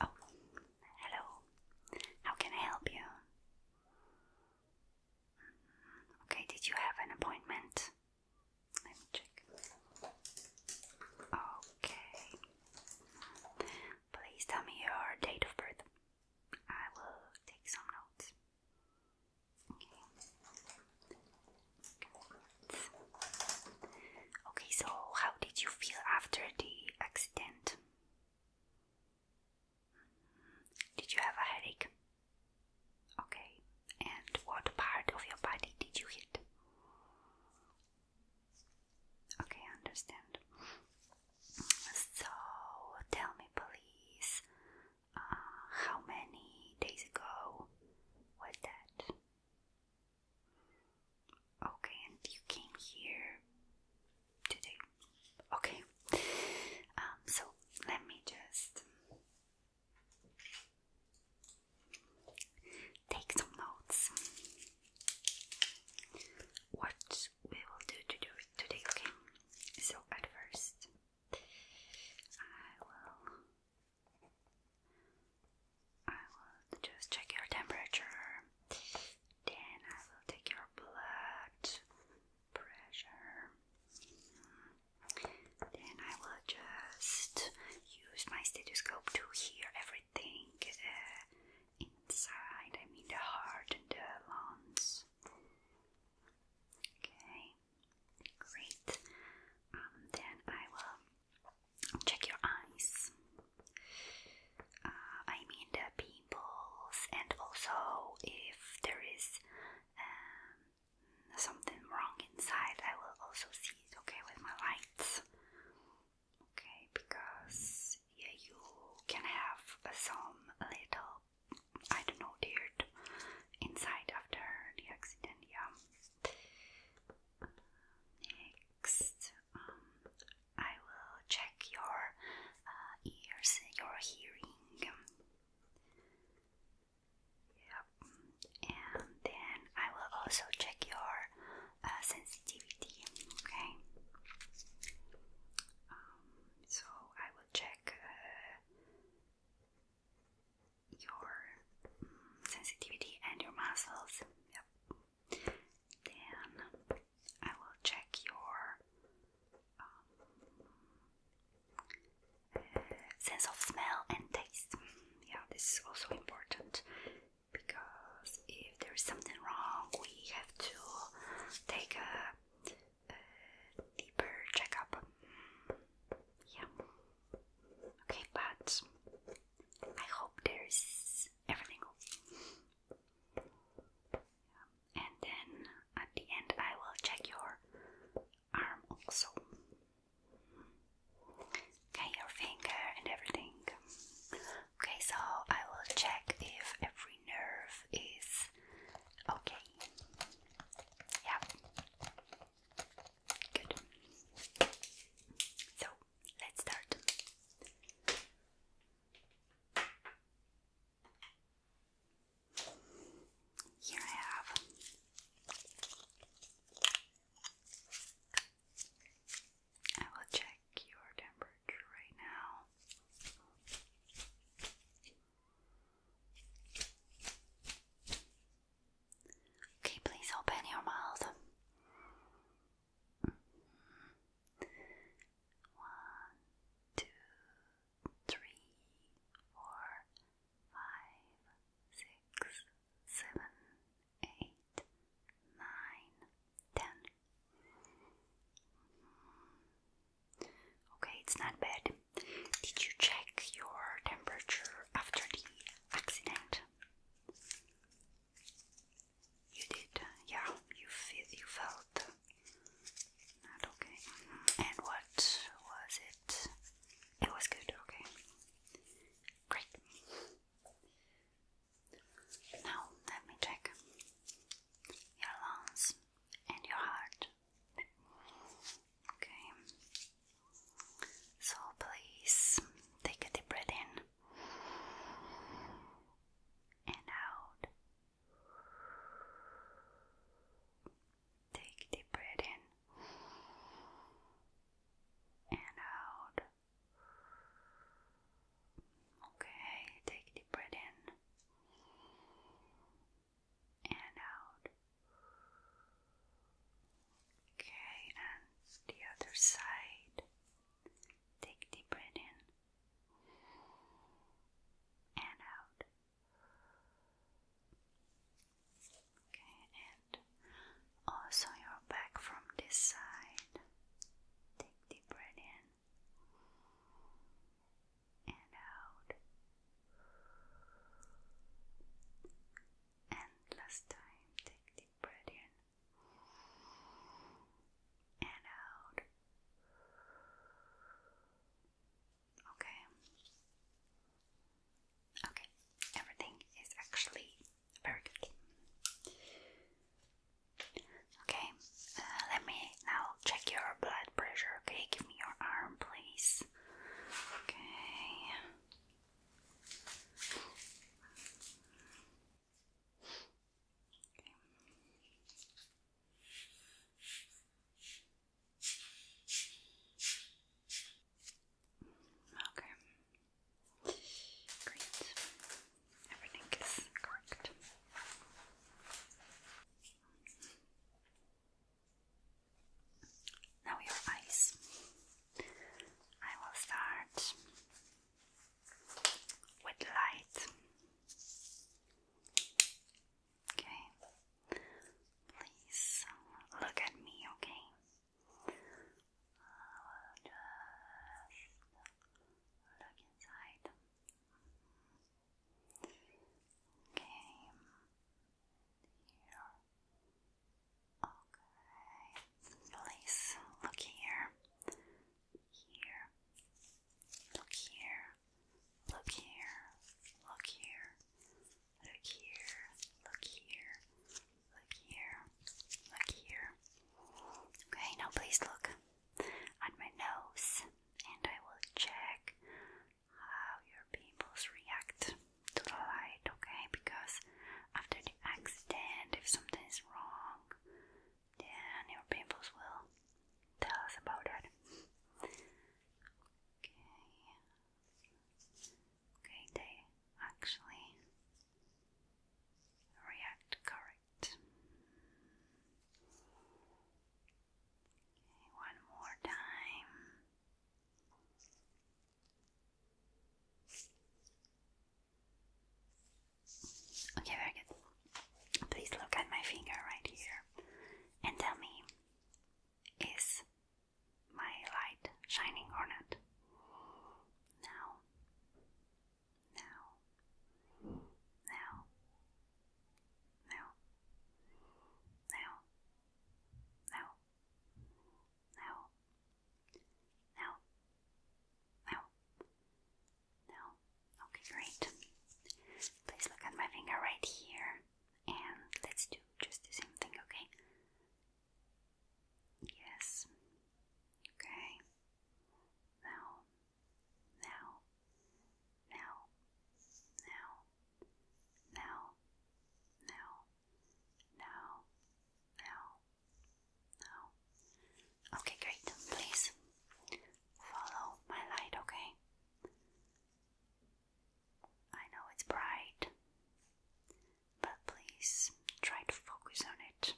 Oh, hello. How can I help you? Mm-hmm. Okay, did you have an appointment? Let me check. Okay. Please tell me your date of birth. I will take some notes. Okay. Okay, so how did you feel after the accident? Did you have a headache? Okay, and what part of your body did you hit? Okay, I understand. So, tell me, please, uh, how many days ago was that? Okay, and you came here today. Okay. Um, so let me just take some notes. What we will do to do today, okay? So at first I will I will just check your temperature, then I will take your blood pressure, then I will just use my stethoscope to hear everything uh, inside, I mean the heart and the lungs. Okay, great. Um, then I will check your eyes. Uh, I mean the pimples, and also if there is um, something wrong inside, I will also see it. Okay, with my lights. Okay, because yeah, you can have some little, I don't know, dirt inside after the accident. Yeah. Next, um, I will check your uh, ears, your hearing. Yep. And then I will also check your uh, sensitivity. Okay. Um, so I will check uh, your mm, sensitivity and your muscles. Yep. Then I will check your um, sense of smell and taste. Yeah, this is also important because if there is something wrong, we have to take a, a deeper checkup. Yeah. Okay, but I hope there's everything. And then at the end, I will check your arm also. Okay, your finger and everything. Okay, so I will check if every nerve is okay. Yeah. Good. So let's start. Here I have I will check your temperature right now. Okay, please open your mouth. One, two, three, four, five, six, seven, eight, nine, ten. Okay, it's not bad. Did you check your temperature after the accident? You did, yeah. You felt not okay. And what was it? It was good. Okay, great. Now let me check your lungs and your heart. Okay, so please take a deep breath in and out. Take a deep breath in and out. Okay, take a deep breath in and out. Okay, and the other side. Take deep breath in and out. Okay, and also your back from this side. Take deep breath in and out. And last time, take deep breath in and out. Okay. Okay, everything is actually very good. Okay, uh, let me now check your blood pressure. Okay, give me your arm, please. Okay, Okay. Okay. Great. Everything is correct. Now your eyes. I will start with light. Okay, please look at me, okay? just look inside. Okay, here. Okay, please look here, here, look here, look here, look here, look here, look here, look here, look here. Okay, now please look at my nose and I will check how your pimples react to the light okay? Because after the accident, if something is wrong, then your pimples will tell us about that. Okay. Okay, they actually react correct. one more time. Okay, very good. Please look at my finger right here and tell me is my light shining or not? Now, now, now, now, now, now, now, now. Now. Now. Okay, great. Please look at my finger right here. And let's do just the same thing, okay? Yes. Okay. Now. Now. Now. Now. Now. Now. Now. No. Okay, great. Please follow my light, okay? I know it's bright, but please try to focus on it.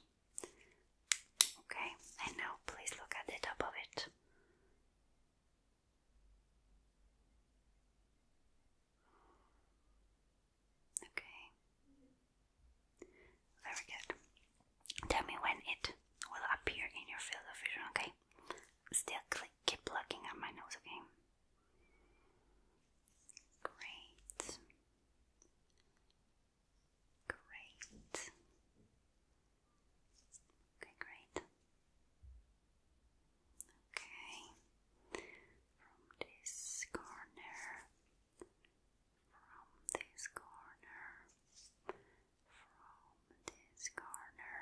Okay, and now please look at the top of it. Okay. Very good. Tell me when it will appear in your field of vision, okay? Still click, keep looking at my nose, okay? Great. Great. Okay, great. Okay. From this corner from this corner, from this corner,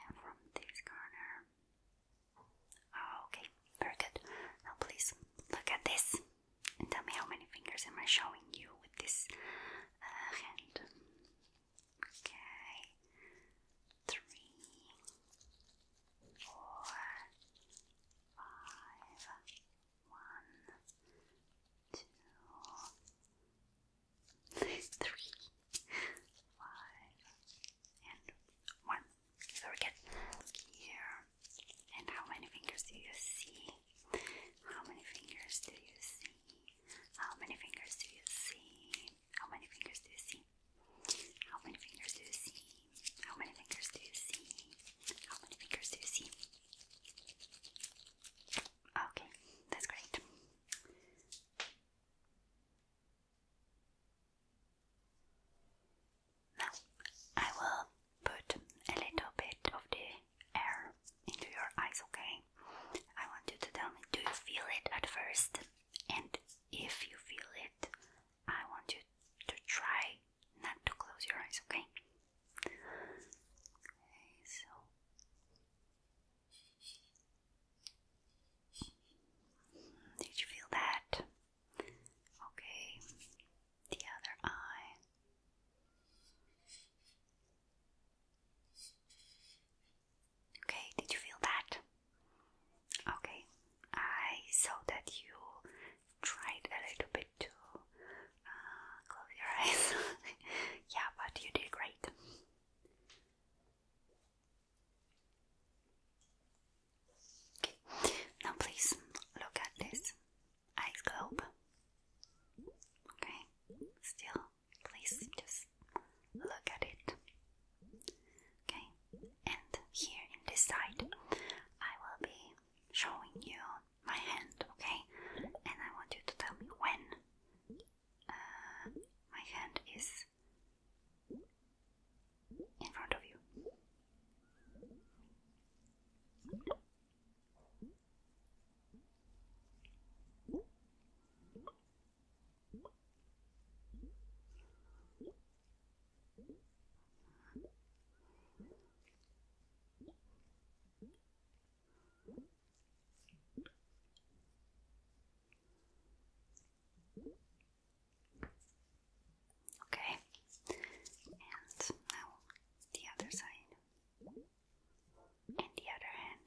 and from this corner. Okay, very good. Now, please look at this tell me how many fingers am I showing you with this uh, hand. Okay, three, four, five, one, two, three, five, and one. Very Here. And how many fingers do you see? How many fingers do you see? How many fingers do you see? How many fingers do you see? How many fingers do you see? How many fingers do you see? How many fingers do you see? Okay, that's great. Now, I will put a little bit of the air into your eyes, okay? I want you to tell me, do you feel it at first? And if you feel it, I want you to try not to close your eyes, okay? Okay, so did you feel that? Okay, the other eye. Okay, did you feel that? Okay, I saw that you tried a little bit to uh, close your eyes. yeah, but you did great. now please look at this ice globe. Okay, still, please just look at it. Okay, and here in this side, I will be showing you my hand, okay? And I want you to tell me when uh, my hand is in front of you. Okay, and now the other side and the other hand.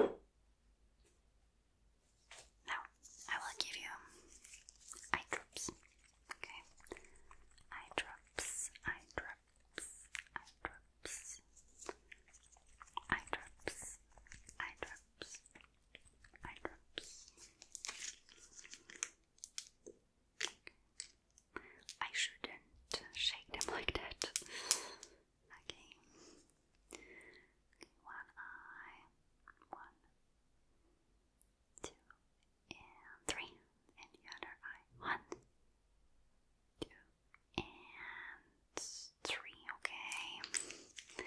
Now, I will give you eye drops. Okay? Eye drops, eye drops, eye drops, eye drops, eye drops, eye drops. I shouldn't shake them like that. Okay. One eye. One, two, and three. And the other eye. One, two, and three. Okay.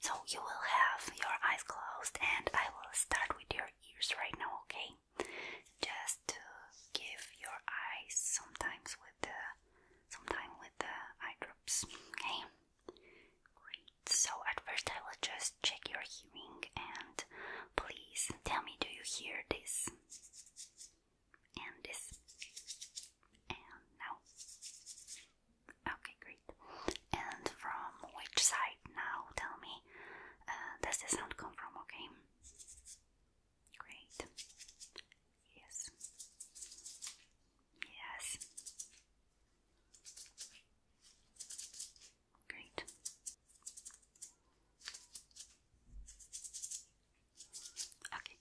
So you will have your eyes closed and I will start with your ears right now, okay? Just to give your eyes sometimes with the sometimes with the eye drops, okay? Great. So at first I will just check your hearing and please tell me do you hear this? And this and now Okay, great. And from which side now? Tell me. Uh, does the sound come from? Okay. Great. Yes. Yes. Great. Okay.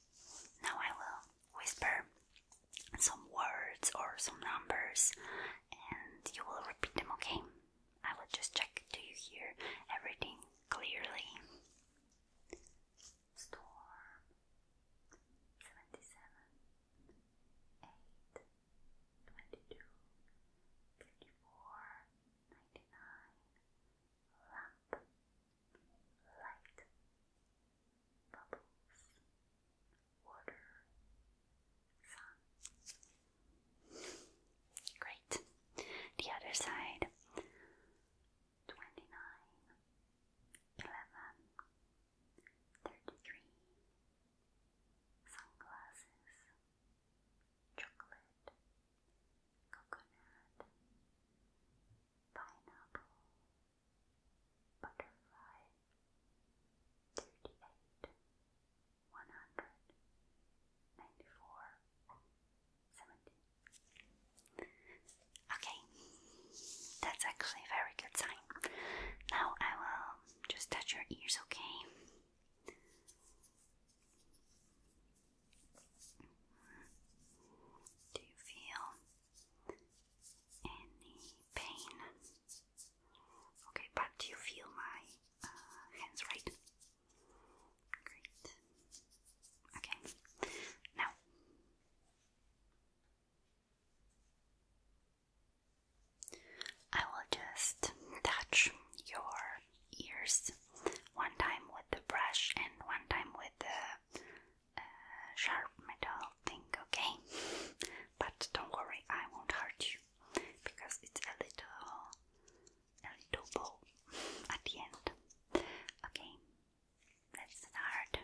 Now I will whisper some words or some numbers and you will repeat them, okay? I will just check do you hear everything clearly? Storm 77 8 Lamp Light Bubbles water, sun. Great. The other side 29, sunglasses, chocolate, coconut, pineapple, butterfly thirty-eight, one hundred, ninety-four, seventy. Okay, that's actually a very good sign. Now I will just touch your ears, okay? Do you feel any pain? Okay, but you feel my uh, hands, right? Great. Okay, now. I will just touch your ears one time with the brush and one time with the uh, sharp metal thing, okay? But don't worry, I won't hurt you because it's a little a little bow at the end. Okay, let's start.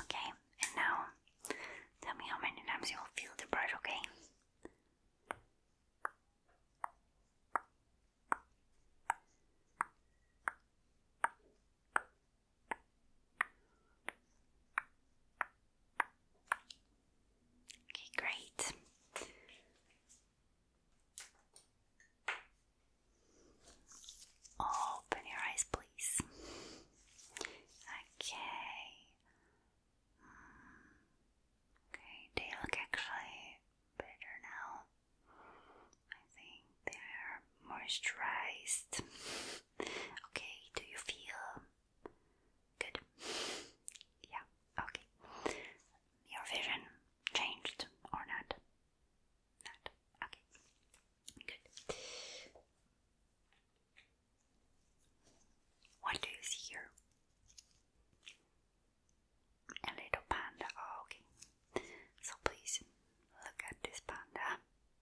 Okay, and now tell me how many times you will feel the brush, okay? Okay, great. Open your eyes, please. Okay. Hmm. Okay, they look actually better now. I think they're moisturized. Okay, do you feel good? Yeah, okay. Your vision changed or not? Not. Okay. Good. What do you see here? A little panda. Oh, okay. So please look at this panda.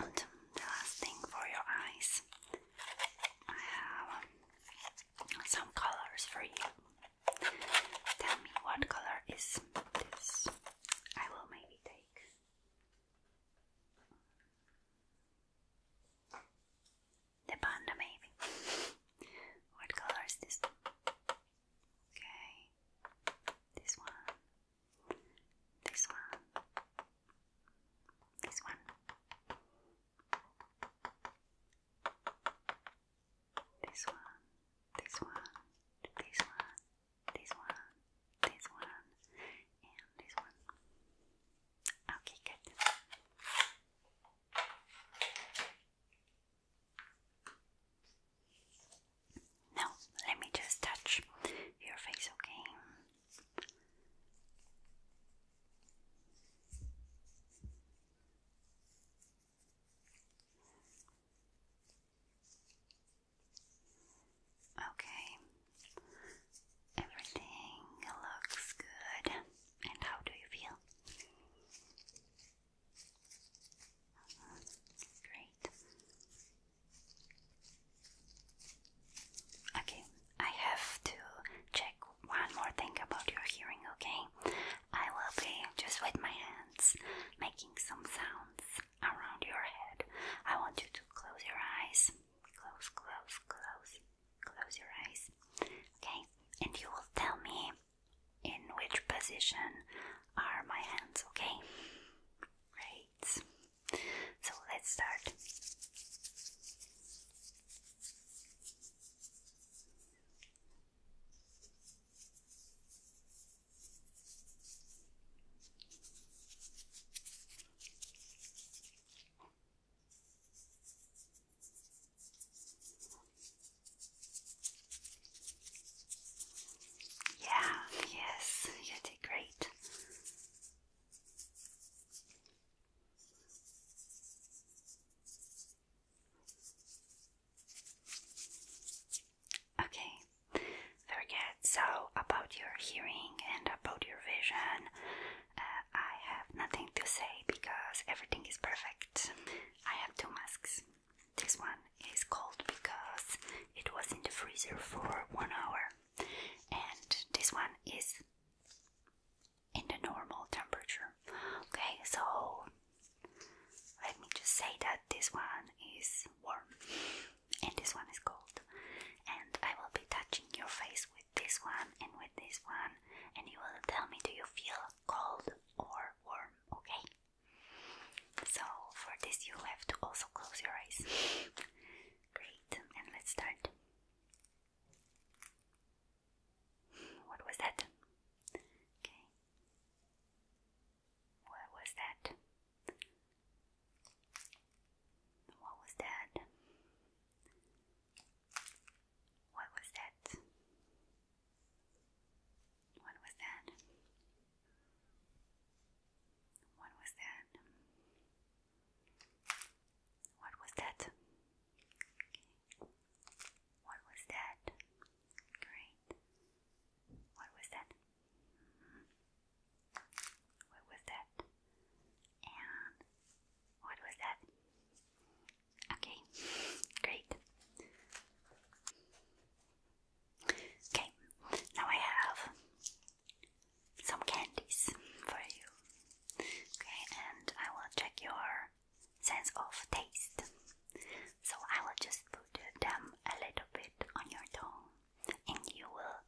And the last thing for your eyes, I have some colors for you. Tell me what color is this? I will maybe take. The panda, maybe. what color is this? Okay, this one. This one. This one. This one. This one. This one. This one. This one. this one. Okay, good. Now, let me just touch your face, okay? Okay, everything looks good. And how do you feel? Mm-hmm. Great. Okay, I have to check one more thing about your hearing, okay? I will be just with my hands making some sounds around your head. I want you to close your eyes. Close, close, close. Close your eyes. Okay? And you will tell me in which position are my hands, okay? Great. So let's start. Yeah, yes, you did great. Okay, very So, about your hearing and about your vision, uh, I have nothing to say because everything is perfect. I have two masks. This one is cold because it was in the freezer for one hour and this one is in the normal temperature. Okay, so let me just say that this one is warm and this one is cold, and I will be touching your face with this one and with this one, and you will tell me do you feel cold or warm, okay? So, for this, you have to also close your eyes. Great, and let's start. What was that? Okay. What was that? What was that? What was that? What was that? What was that? What was that? What was that? Great. What was that? Mm-hmm. What was that? And what was that? Okay, great. Okay, now I have some candies for you. Okay, and I will check your sense of taste. So I will just put them a little bit on your tongue, and you will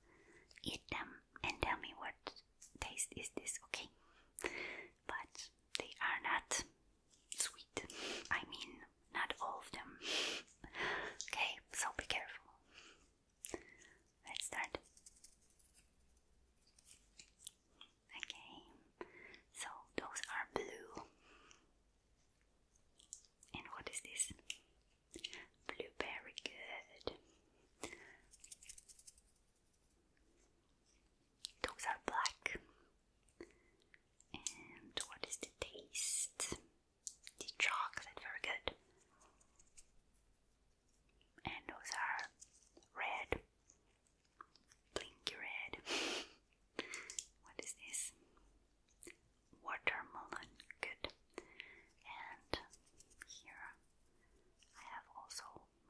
eat them and tell me what taste is this, okay? But they are not sweet. I mean, not all of them. okay, so be careful. Let's start. Okay, so those are blue. And what is this? Blueberry, good. Those are black. And what is the taste? the chalks that good. And those are red, blinky red. what is this? Watermelon, good. And here I have also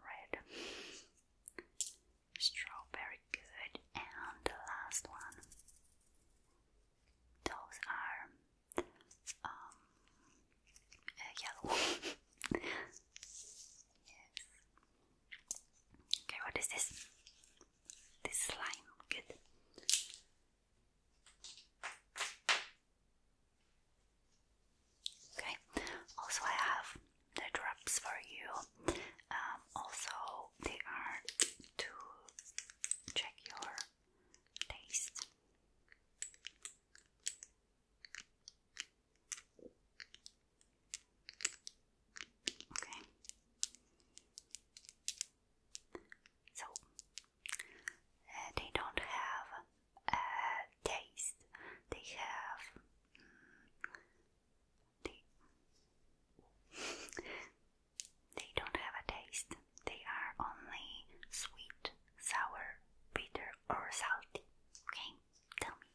red. Strawberry, good. And the last one. Those are um, uh, yes. Okay, what is this? This slime, good. Okay, also I have the drops for you. Um, also, they are to check your taste. Okay. So uh, they don't have a taste. They have mm, they don't have a taste. They are only sweet, sour, bitter, or salty. Okay, tell me,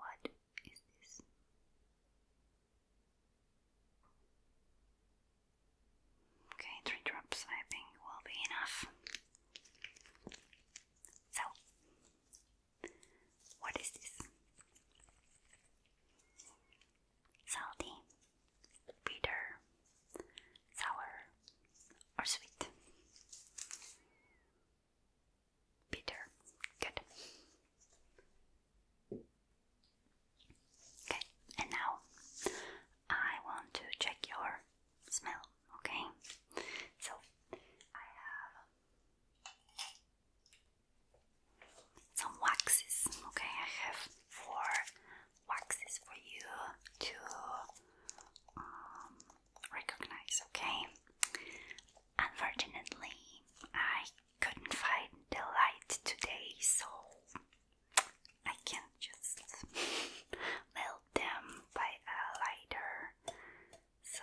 what is this? Okay, three drops I think will be enough. So, what is this? salty, bitter, sour, or sweet. Bitter, good. Okay, and now I want to check your smell, okay? So I have some waxes, okay? I have four waxes for you to um, recognize, okay? Unfortunately, I couldn't find the light today, so I can't just melt them by a lighter. So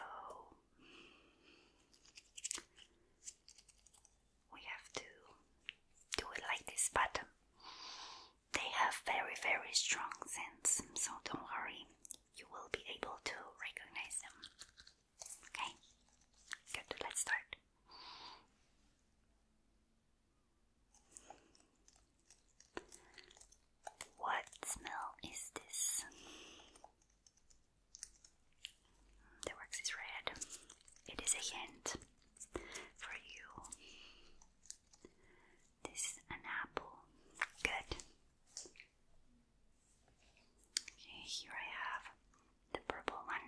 we have to do it like this, but they have very, very strong sense, so don't worry, you will be able to recognize them. Okay, good, let's start. What smell is this? The wax is red. It is a hint for you. This is an apple. Good. Okay, here I have the purple one.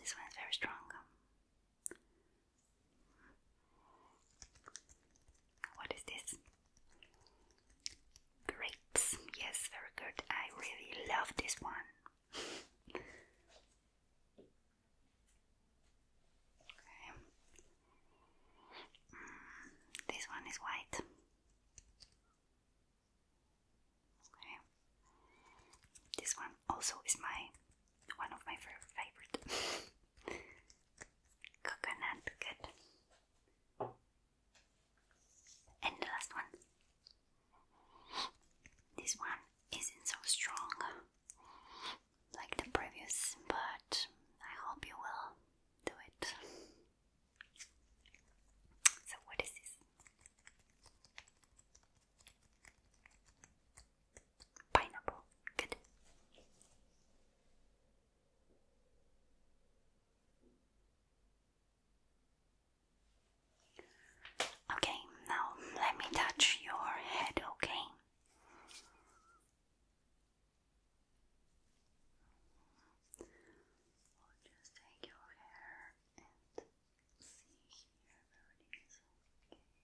This one is very strong. What is this? Grapes. Yes, very good. I really love this one okay. this one is white. Okay. This one also is my one of my favorite. Coconut, good. And the last one. This one isn't so strong like the previous, but I hope you will do it. So, what is this? Pineapple. Good. Okay, now let me touch your head, okay? I'll just take your hair and see here where it is.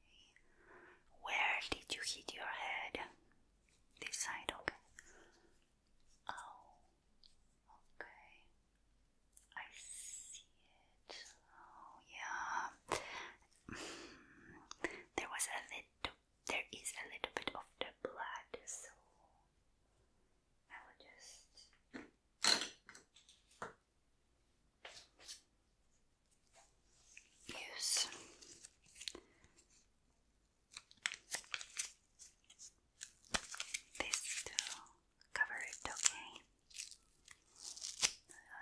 Okay. Where did you hit your head? This side, okay. Oh, okay. I see it. Oh, yeah. there was a little, there is a little bit of the blood, so I will just use. This too cover it, okay?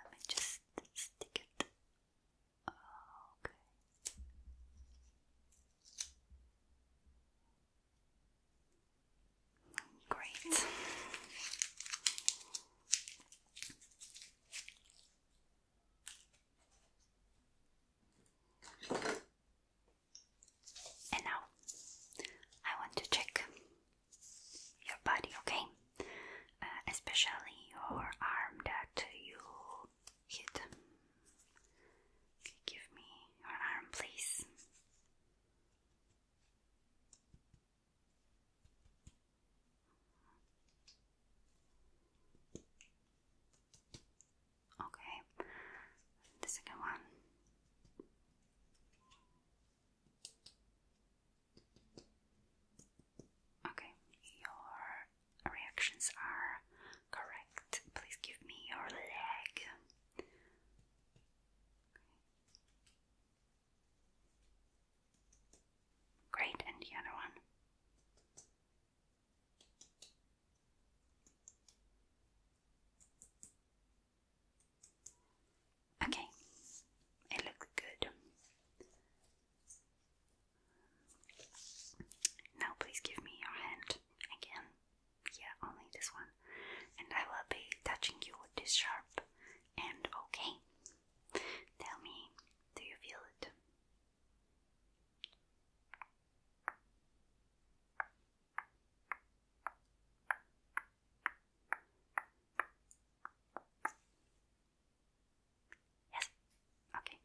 Let me just stick it. Oh, okay. Great. And now I want to check your body, okay? Uh, especially your arm that you hit. give me your arm, please. Okay, the second one. Okay, your reactions are correct. Please give me your leg. Great, and the other one. Okay, it looks good. Now, please give me your hand again. Yeah, only this one. And I will be touching you with this sharp end, okay? Tell me, do you feel it? Yes. Okay.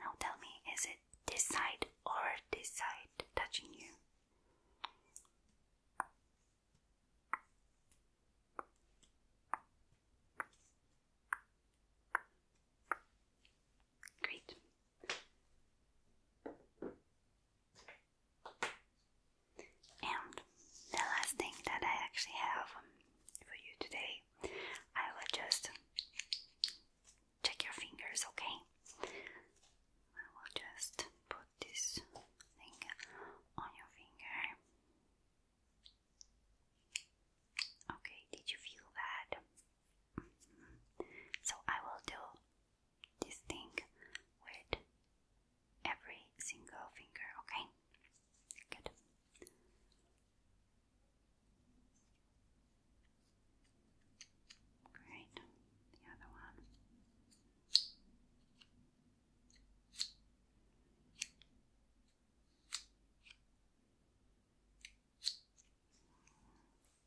Now tell me, is it this side or this side touching you? Great. And the last thing that I actually have um, for you today, I will just check your fingers, okay? I will just put this thing on your finger. Okay, did you feel that? Mm-hmm. So I will do this thing with every single finger, okay? Good. Great. The other one.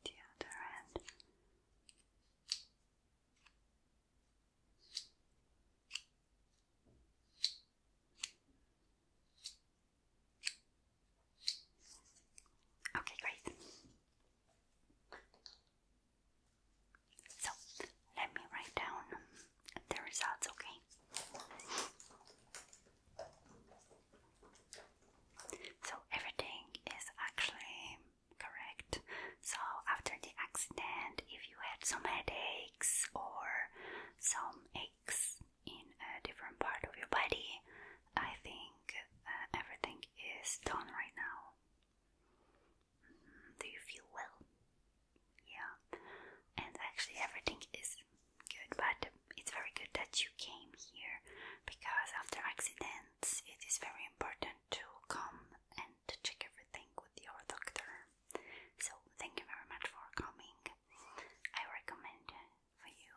The other end. Okay, great. So let me write down the results, okay? So everything is actually correct. So after the accident, if you had some headaches or some aches in a different part of your body, I think uh, everything is done right now. Mm-hmm. Do you feel well? Yeah, and actually, everything is good, but it's very good that you came here because after accidents, it is very important to come and check everything with your doctor. So thank you very much for coming. I recommend for you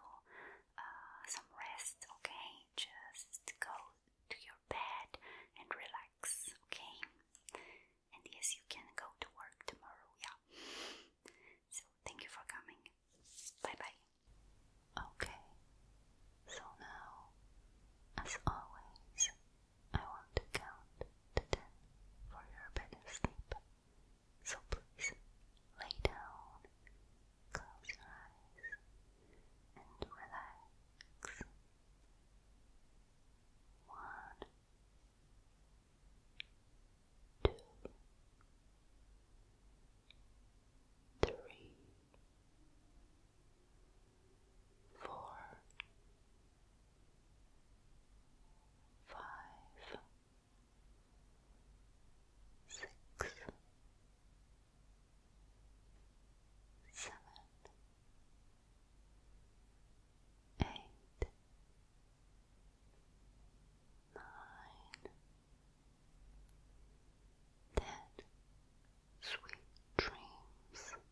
uh, some rest, okay? Just go to your bed and relax, okay? And yes, you can go to work tomorrow, yeah. So thank you for coming. Bye bye. Okay, so now, as always, I want to count to ten for your better sleep. So please lay down, close your eyes, and relax. One, two, five, six, seven, eight, nine, ten. Sweet dreams.